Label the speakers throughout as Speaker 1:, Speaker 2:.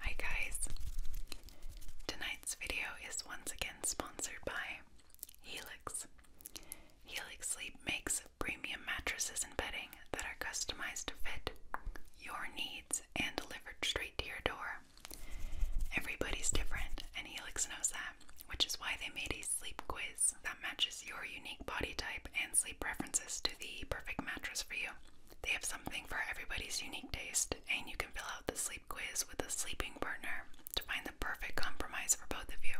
Speaker 1: Hi guys! Tonight's video is once again sponsored by Helix. Helix Sleep makes premium mattresses and bedding that are customized to fit your needs and delivered straight to your door. Everybody's different, and Helix knows that, which is why they made a sleep quiz that matches your unique body type and sleep preferences to the perfect mattress for you. They have something for everybody's unique taste, and you can fill out the sleep quiz with a sleeping partner to find the perfect compromise for both of you.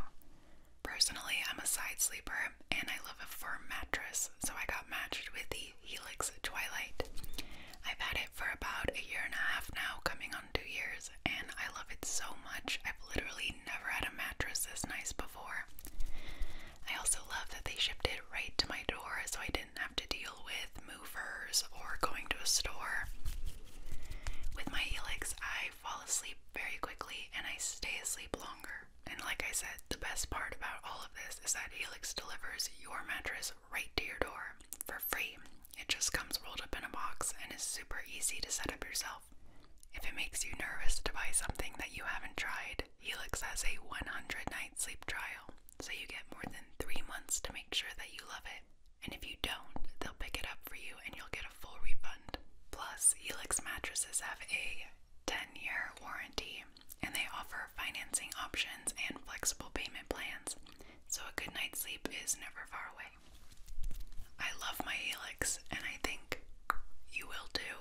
Speaker 1: Personally, I'm a side sleeper and I love a firm mattress, so I got matched with the Helix Twilight. I've had it for about a year and a half now, coming on two years, and I love it so much. I've literally never had a mattress this nice before. I also love that they shipped it right to my door so I didn't have to deal with movers or going to a store. With my Helix, I fall asleep very quickly and I stay asleep longer. And like I said, the best part about all of this is that Helix delivers your mattress right to your door for free. It just comes rolled up in a box and is super easy to set up yourself. If it makes you nervous to buy something that you haven't tried, period, Helix has a 100 night sleep trial, so you get more than three months to make sure that you love it. And if you don't, they'll pick it up for you and you'll get a full refund. Plus, Helix mattresses have a 10 year warranty and they offer financing options and flexible payment plans, so a good night's sleep is never far away. I love my Helix and I think you will too.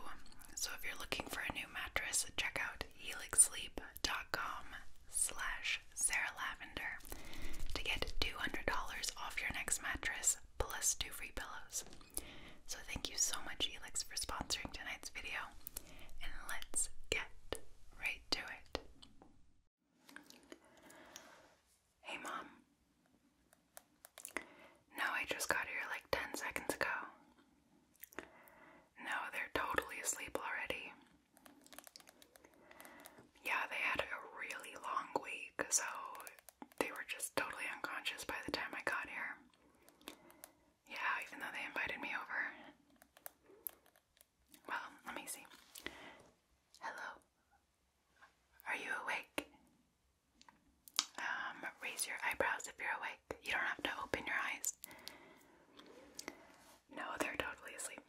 Speaker 1: So if you're looking for a new mattress, check out helixsleep.com slash Sarah Lavender to get $200 off your next mattress plus two free pillows. So thank you so much Helix for sponsoring tonight's video and let's get right to it. Hey mom. No, I just got here like 10 seconds ago. No, they're totally asleep already. Yeah, they had a really long week, so they were just totally unconscious by the time I got here. Yeah, even though they invited me over. Well, let me see. Hello. Are you awake? Um, raise your eyebrows if you're awake. You don't have to open your eyes. No, they're totally asleep.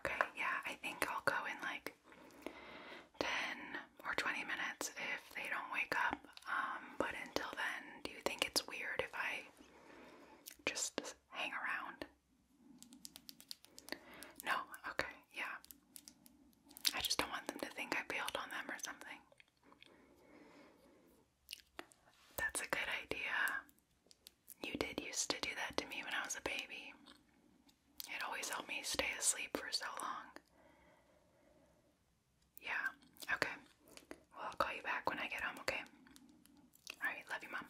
Speaker 1: Okay, yeah, I think I'll go in like 10 or 20 minutes if they don't wake up. Um, but until then, do you think it's weird if I just hang around? No, okay, yeah. I just don't want them to think I bailed on them or something. That's a good idea. You did used to do that to me when I was a baby. It always helped me stay asleep for so long. Yeah, okay. Well, I'll call you back when I get home, okay? Alright, love you, Mom.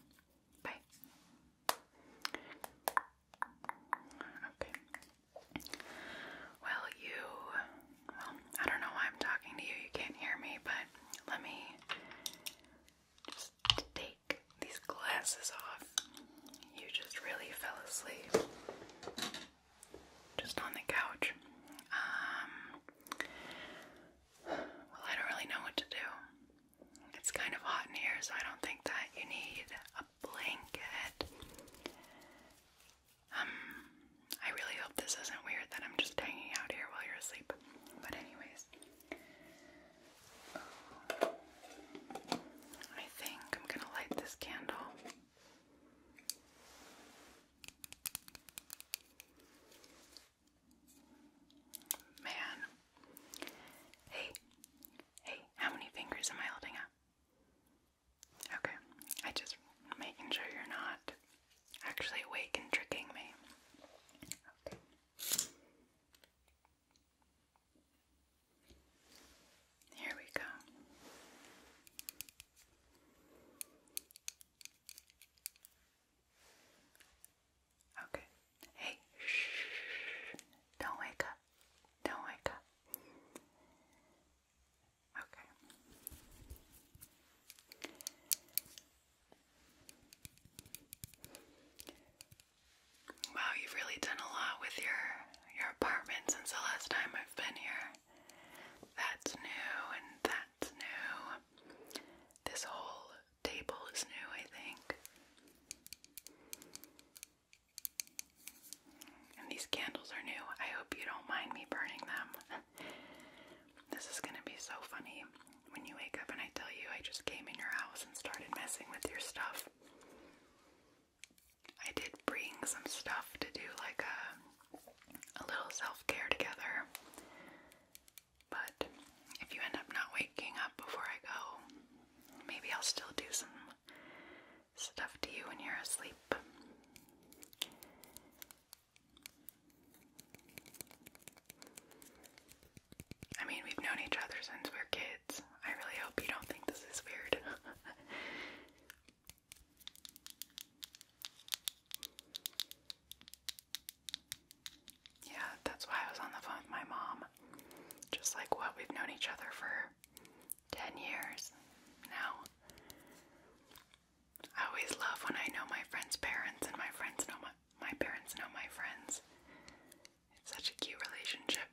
Speaker 1: Bye. Okay. Well, you, well, I don't know why I'm talking to you, you can't hear me, but let me just take these glasses off. You just really fell asleep just on the couch. Um, well, I don't really know what to do. It's kind of hot in here, so I don't think that you need a blanket. Um, I really hope this isn't weird that I'm just hanging out here while you're asleep. But anyways, I think I'm gonna light this candle. Man, hey, hey, how many fingers am I holding up? Okay, I just making sure you're not actually awake and tricking me. Okay. Here we go. Okay. Hey, Don't wake up. Don't wake up. Okay. Wow, you've really done a lot with your your apartment since the last time I've been here. That's new and that's new. This whole table is new, I think. And these candles are new. I hope you don't mind me burning them. this is gonna be so funny when you wake up and I tell you I just came in your house and started messing with your stuff. I did bring some stuff to do like a, a little self-care together. But if you end up not waking up before I go, maybe I'll still do some stuff to you when you're asleep. I mean, we've known each other since we are kids. I really hope you don't think this is weird. yeah, that's why I was on the phone with my mom. Just like what, we've known each other for 10 years now. I always love when I know my friends' parents and my friends know my, my parents know my friends. It's such a cute relationship.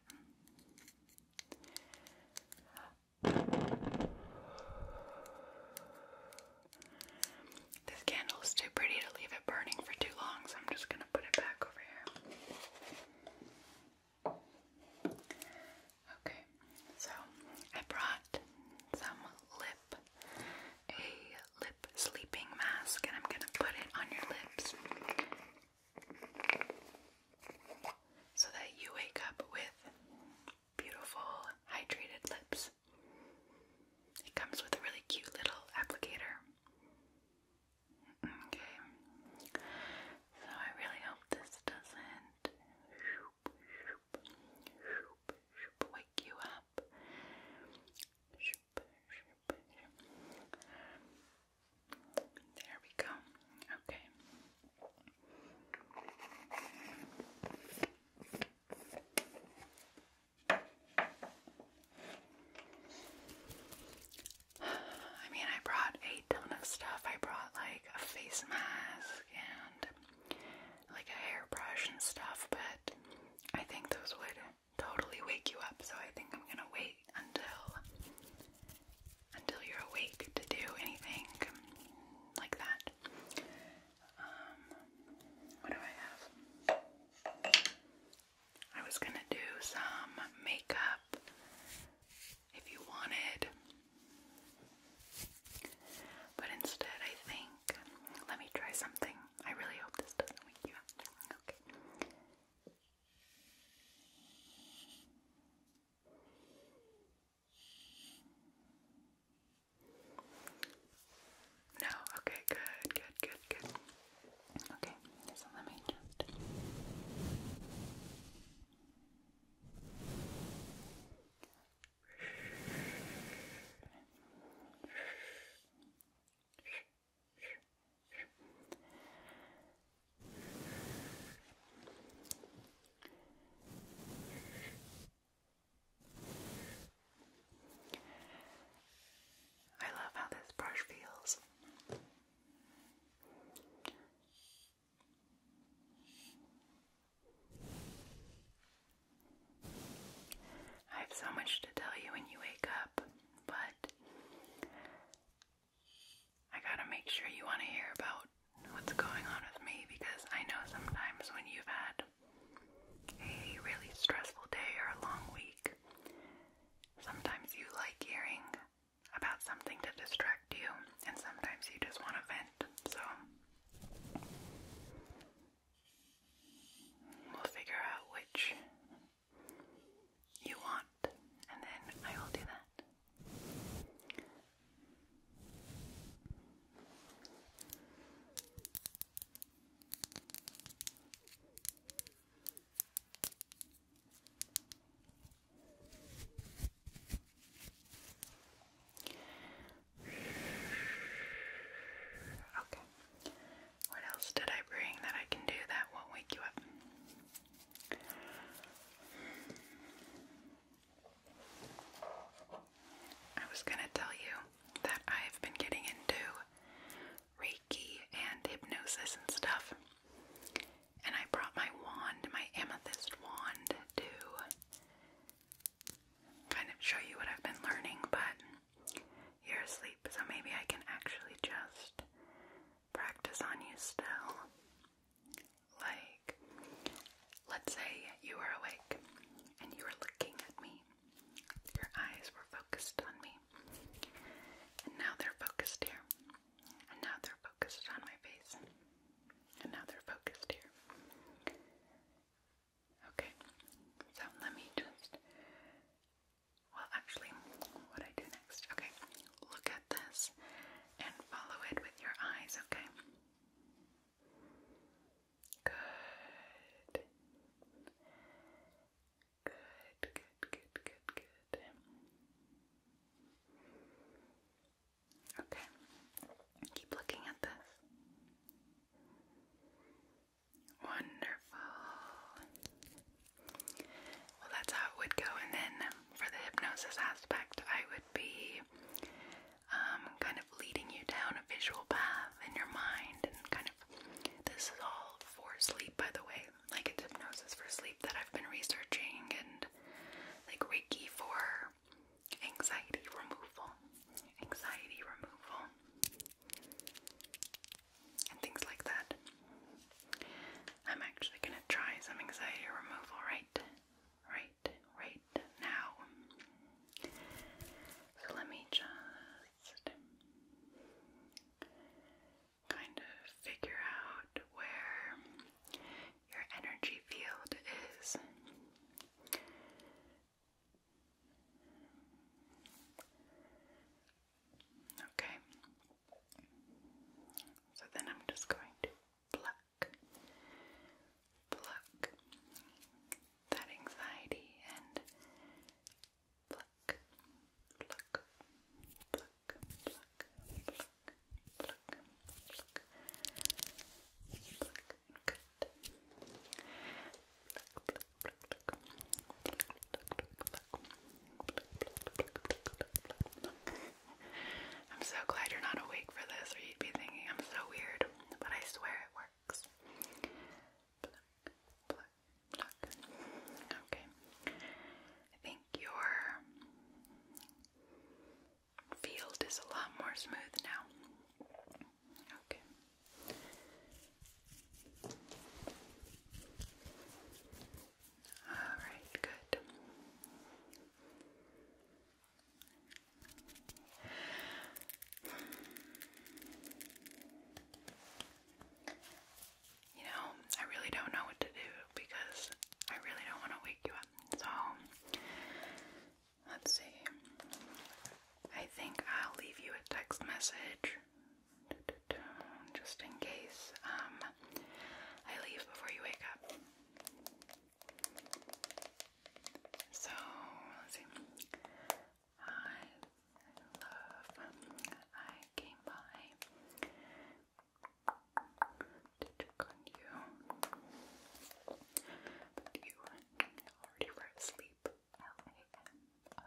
Speaker 1: This candle is too pretty to leave it burning for too long, so I'm just gonna put it back over here. Okay, so I brought some lip, a lip sleeping mask, and I'm gonna put it on your lips so that you wake up with beautiful, hydrated lips. It comes with a really cute little applicator. Okay, so I really hope this doesn't shoop, wake you up. There we go. Okay. I mean, I brought a ton of stuff. I brought like a face mask and like a hairbrush and stuff, but I think those would totally wake you up, so I think I'm gonna wait until until you're awake to do anything like that. Um, what do I have? I was gonna do some makeup if you wanted but instead, I think, let me try something. I really hope this doesn't wake you up. No, okay, good, good, good, good. Okay, so let me just. I love how this brush feels. I have so much to tell you when you wake up, but I gotta make sure you want to hear about what's going on with me because I know sometimes when you've had a really stressful day or a long week, sometimes you like hearing about something to distract you, and sometimes you just want to vent, so we'll figure out which you want, and then I will do that. Okay. What else did I bring that I can do that won't wake you up? I was going to tell you that I have been getting into Reiki and hypnosis and stuff. And I brought my wand, my amethyst wand, to kind of show you what I've been learning, but you're asleep, so maybe I can actually just practice on you still. Like, let's say you were awake and you were looking at me. Your eyes were focused on me. And now they're focused here. And now they're focused on my face. And now they're focused here. Okay, so let me just. Well, actually, what I do next. Okay, look at this and follow it with your eyes, okay? Good. Good, good, good, good, good. Okay, keep looking at this. Wonderful. Well, that's how it would go. And then for the hypnosis aspect, I would be um, kind of leading you down a visual path in your mind and kind of. This is all for sleep, by the way. Like hypnosis for sleep that I've been researching and like Reiki for anxiety removal, anxiety removal, and things like that. I'm actually going to try some anxiety removal right, right, right now. So let me just kind of figure out where your energy field is okay. So then I'm just going to pluck, pluck that anxiety and pluck, pluck, pluck, pluck, pluck, pluck, pluck, pluck, good, I'm so glad you're not awake for this, or you'd be thinking I'm so weird, but I swear it works. Okay. I think your field is a lot more smooth now. Okay. All right, good. You know, I really don't know what to do because I really don't want to wake you up. So, Let's see. I think I'll leave you a text message just in case um, I leave before you wake up. So, let's see. I love, I came by to check on you you already were asleep. L-A-M-O. Oh,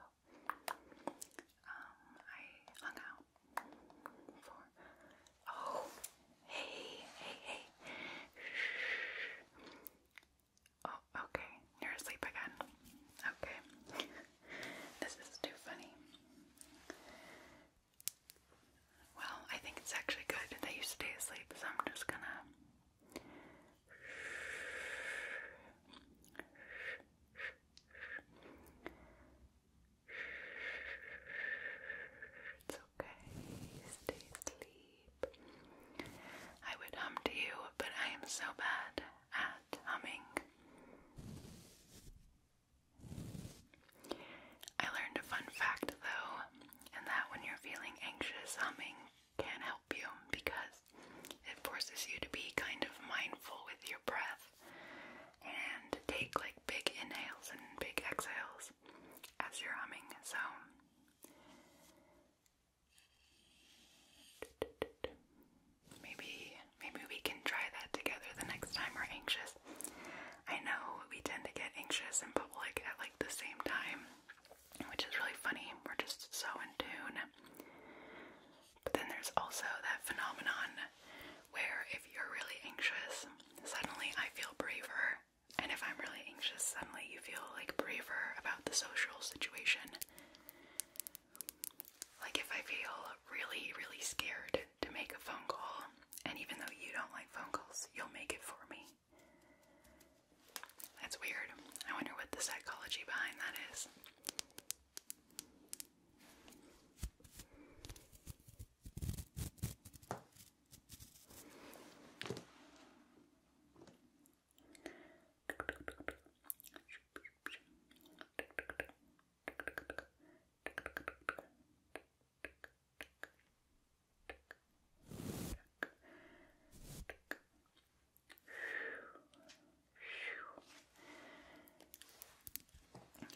Speaker 1: um, I hung out Oh, hey, hey, hey. Oh, okay. You're asleep again. Okay. this is too funny. Well, I think it's actually good that you stay asleep, so I'm just gonna. It's okay. Stay asleep. I would hum to you, but I am so bad at humming. I learned a fun fact though and that when you're feeling anxious, humming can help you because it forces you to be kind of mindful with your breath and take like big inhales and big exhales as you're humming. So maybe maybe we can try that together the next time we're anxious. I know we tend to get anxious in public at like the same time which is really funny. We're just so in tune. But then there's also that phenomenon where if you're really anxious, suddenly I feel braver. And if I'm really anxious, suddenly you feel like braver about the social situation. Like if I feel really, really scared to make a phone call, and even though you don't like phone calls, you'll make it for me. That's weird. I wonder what the psychology behind that is.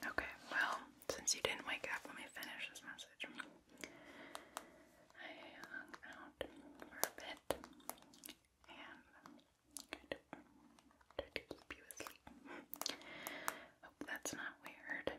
Speaker 1: Okay, well, since you didn't wake up, let me finish this message. I hung out for a bit and tried to keep you asleep. Hope that's not weird.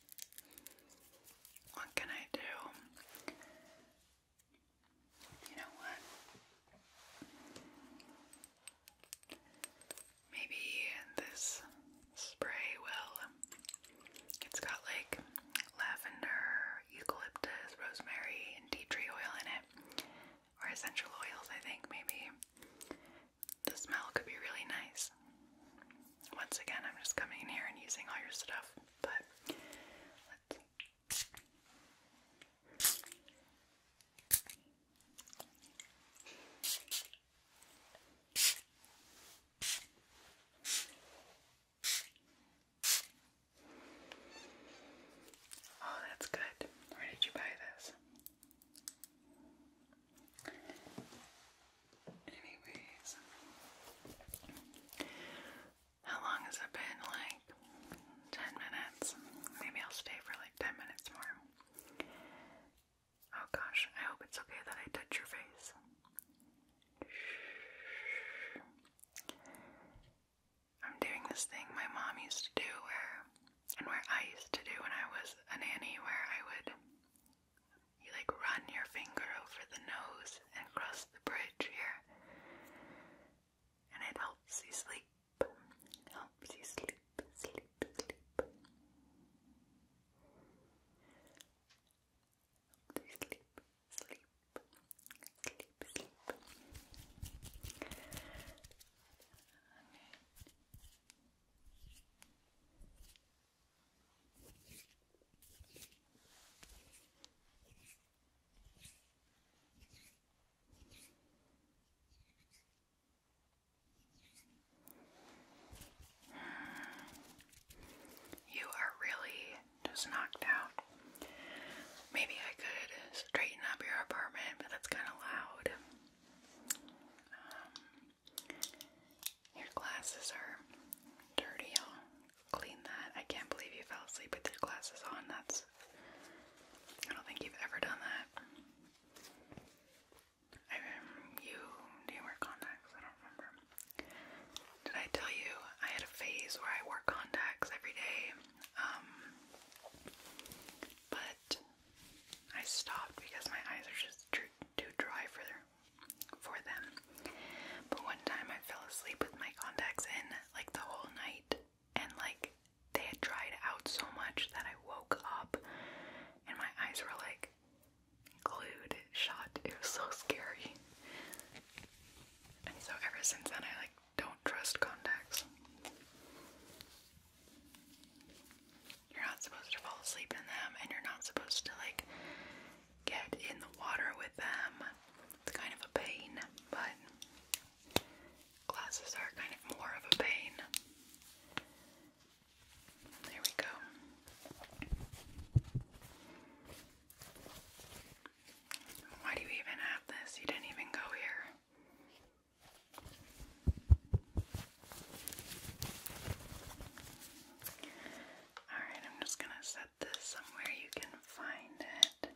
Speaker 1: What can I do? You know what? Maybe this spray will. It's got like lavender, eucalyptus, rosemary, and tea tree oil in it. Or essential oils, I think, maybe. The smell could be really nice. Once again, I'm just coming in here and using all your stuff but Oh, that's good. Where did you buy this? Anyways, how long has it been? Like 10 minutes? Maybe I'll stay for like 10 minutes more. Oh gosh, I hope it's okay that I touch your face. I'm doing this thing my mom used to do where, and where I used to do when I was a nanny, where I would you like run your finger over the nose and across the bridge here. And it helps you sleep. helps you sleep, sleep, sleep. sleep, sleep, sleep, sleep. You are really just knocked out. Maybe I could straighten up your apartment, but that's kind of loud. Um, your glasses are dirty, y'all clean that. I can't believe you fell asleep with your glasses on. That's. I don't think you've ever done that. I um, you do you wear contacts? I don't remember. Did I tell you I had a phase where I wore contacts every day? Um, but I stopped because my eyes are just too, dry for their for them. But one time I fell asleep with my contacts in like the whole night, and like they had dried out so much that I woke up and my eyes were like glued shut. It was so scary. And so ever since then, I like don't trust contacts. You're not supposed to fall asleep in them, and you're not supposed to like get in the water with them. It's kind of a pain, but glasses are kind of more of a pain. There we go. Why do you even have this? You didn't even go here. Alright, I'm just gonna set somewhere you can find it.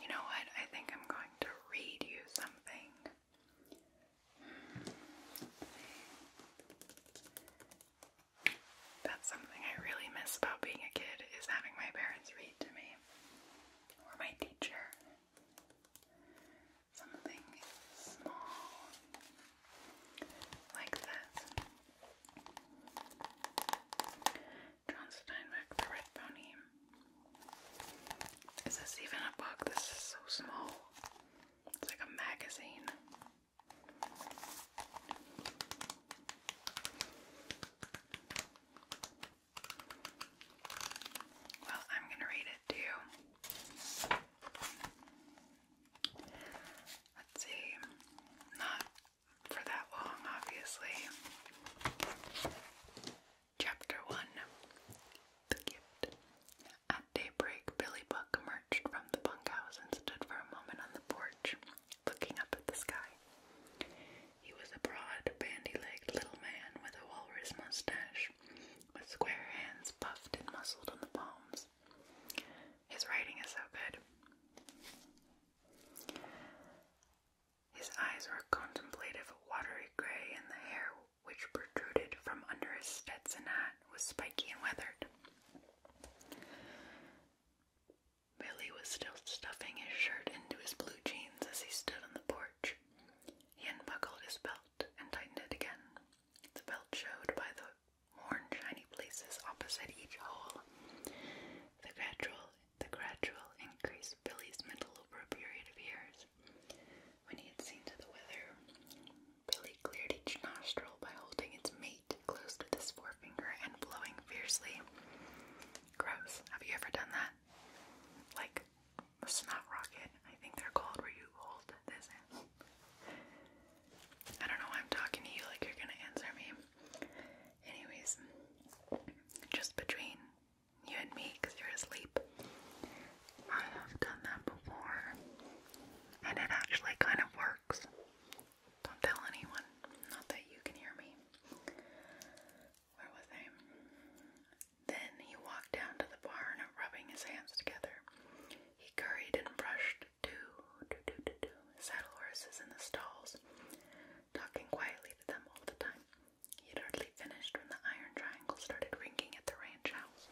Speaker 1: You know what? I think I'm going to read you something. That's something I really miss about being a kid is having my parents read to me or my teacher. Something small like this. John Steinbeck, The Red Pony. Is this even a book? This is so small. It's like a magazine. Well, I'm going to read it to you. Let's see. Not for that long, obviously. Chapter 1 The Gift at daybreak, Billy Buck emerged from the bunkhouse and stood for a moment on the porch, looking up at the sky. He was a broad, bandy-legged little man with a walrus mustache, with square hands puffed and muscled on the palms. His writing is so good. His eyes were contemplative, watery gray, and the hair which protruded from under his Stetson hat, was spiky and weathered. Billy was still stuffing his shirt into his blue jeans as he stood on the porch. He unbuckled his belt and tightened it again. The belt showed by the worn, shiny places opposite each hole. The gradual, the gradual increased Billy's mental over a period of years. When he had seen to the weather, Billy cleared each nostril by holding its mate closed with his forefinger and blowing fiercely. Gross. Have you ever done that? Like a snot rocket, I think they're called, where you hold this I don't know I'm talking to you like you're gonna answer me. Anyways, just between you and me, you're asleep. I have done that before, and it actually kind of works. Don't tell anyone, not that you can hear me. Where was I? Then he walked down to the barn, rubbing his hands together. He curried and brushed two, two, two, two, two saddle horses in the stalls, talking quietly to them all the time. He had hardly finished when the iron triangle started ringing at the ranch house.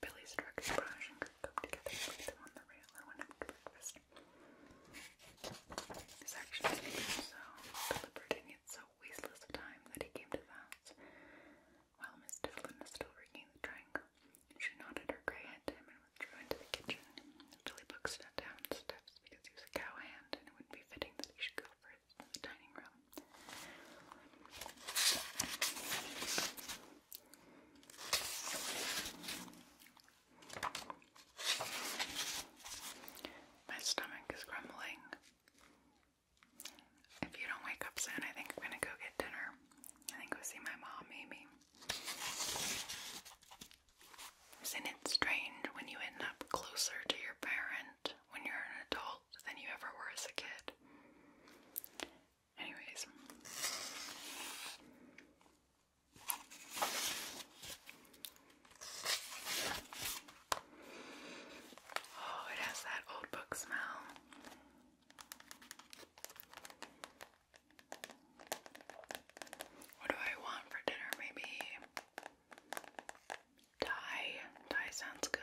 Speaker 1: Billy's direct brush and could come and put them on the rail and went up breakfast. His actions so deliberate and yet so wasteless of time that he came to that. While Miss Devlin was still ringing the triangle, she nodded her grey head to him and withdrew into the kitchen. Billy Book sat down on the because he was a cowhand and it would be fitting that he should go first in the dining room. My stomach is grumbling. If you don't wake up soon, I think I'm gonna go get dinner. I think go see my mom, maybe. Isn't it strange when you end up closer to your parent when you're an adult than you ever were as a kid. Anyways. Oh, it has that old book smell. What do I want for dinner? Maybe Thai. Thai sounds good.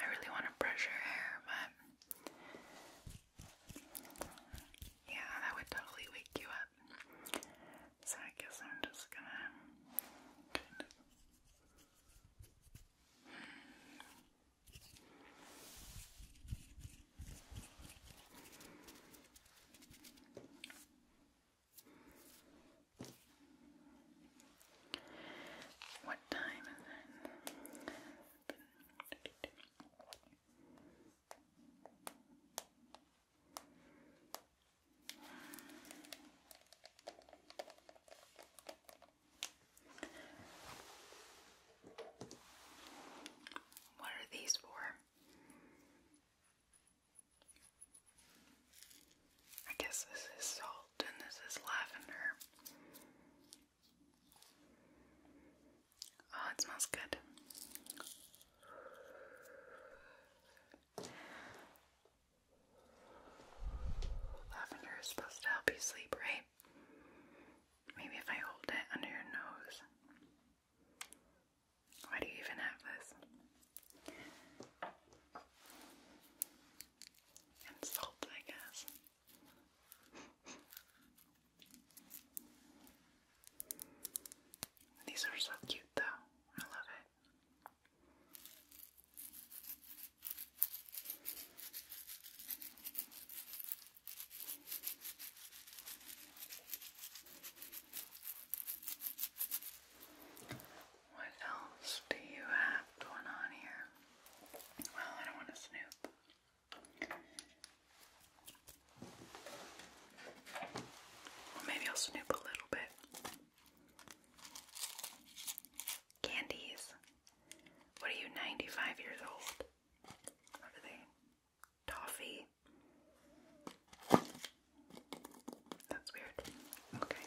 Speaker 1: I really want to brush your hair, but yeah, that would totally wake you up. So I guess I'm just gonna what time is it? What are these for? I guess this is salt and this is lavender. Oh, it smells good. Lavender is supposed to help you sleep, right? Maybe if I hold it under your nose. Why do you even have this? And salt, I guess. These are so cute, though. I love it. What else do you have going on here? Well, I don't want to snoop. Well, maybe I'll snoop a little bit. Candies. What are you, 95 years old? What are they? Toffee? That's weird. Okay.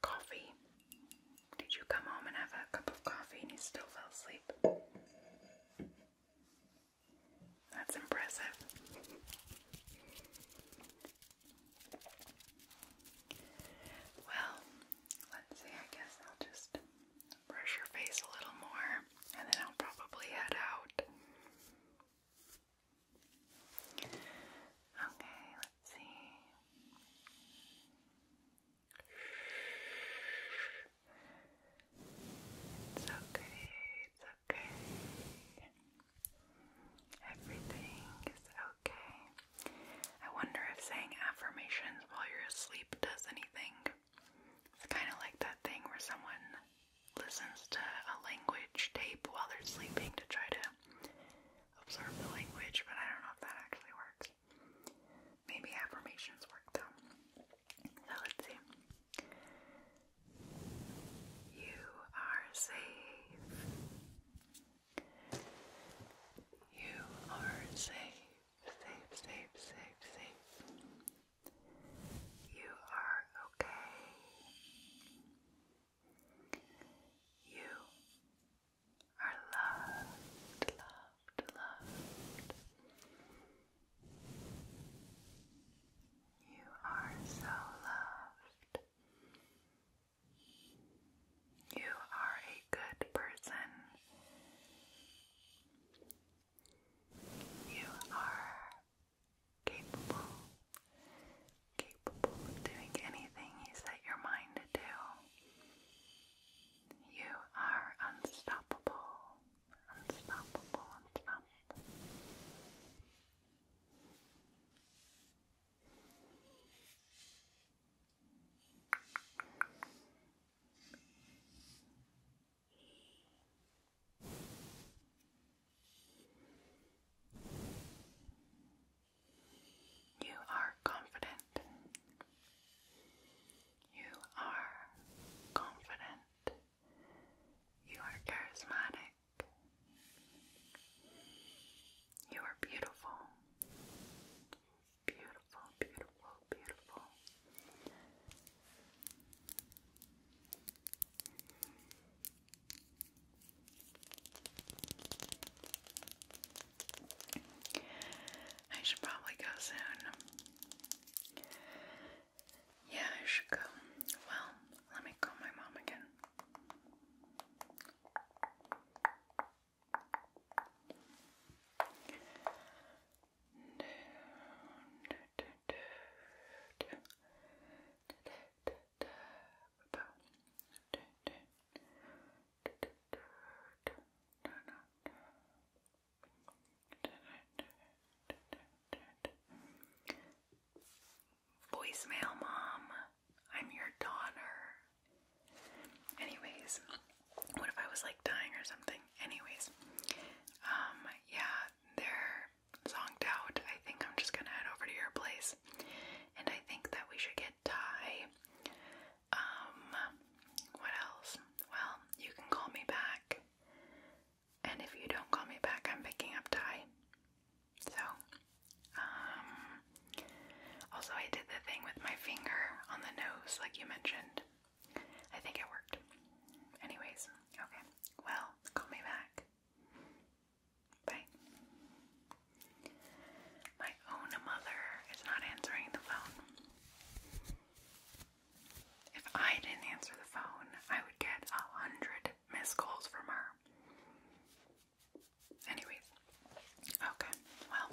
Speaker 1: Coffee. Did you come home and have a cup of coffee and you still fell asleep? That's impressive. Well, Let's see, I guess I'll just brush your face a little more and then I'll probably head out. Okay, let's see. It's okay, it's okay. Everything is okay. I wonder if saying affirmations while you're asleep does anything. It's kind of like that thing where someone listens to a language tape while they're sleeping to try to absorb the language, but I don't know if that actually works. Maybe affirmations work though. So let's see. You are safe. You are safe, safe, safe, safe, safe. You are okay. You are loved, loved, loved. You are so loved. You are a good person. You are capable, capable of doing anything you set your mind to do. You are unstoppable, unstoppable, unstoppable. You are confident. You are confident. You are charismatic. You are beautiful. Beautiful, beautiful, beautiful. I should probably go soon. Yeah, I should go. Well, let me call my mom again. Voicemail mom, I'm your daughter. Anyways, what if I was like dying or something? Anyways, um, yeah, they're zonked out. I think I'm just gonna head over to your place, and I think that we should get Ty. Um, what else? Well, you can call me back, and if you don't call me back, I'm picking up Ty. So, um, also, I did the thing with my finger on the nose, like you mentioned. I think it worked. Anyways, okay. Well, call me back. Bye. My own mother is not answering the phone. If I didn't answer the phone, I would get a hundred missed calls from her. Anyways, okay, well,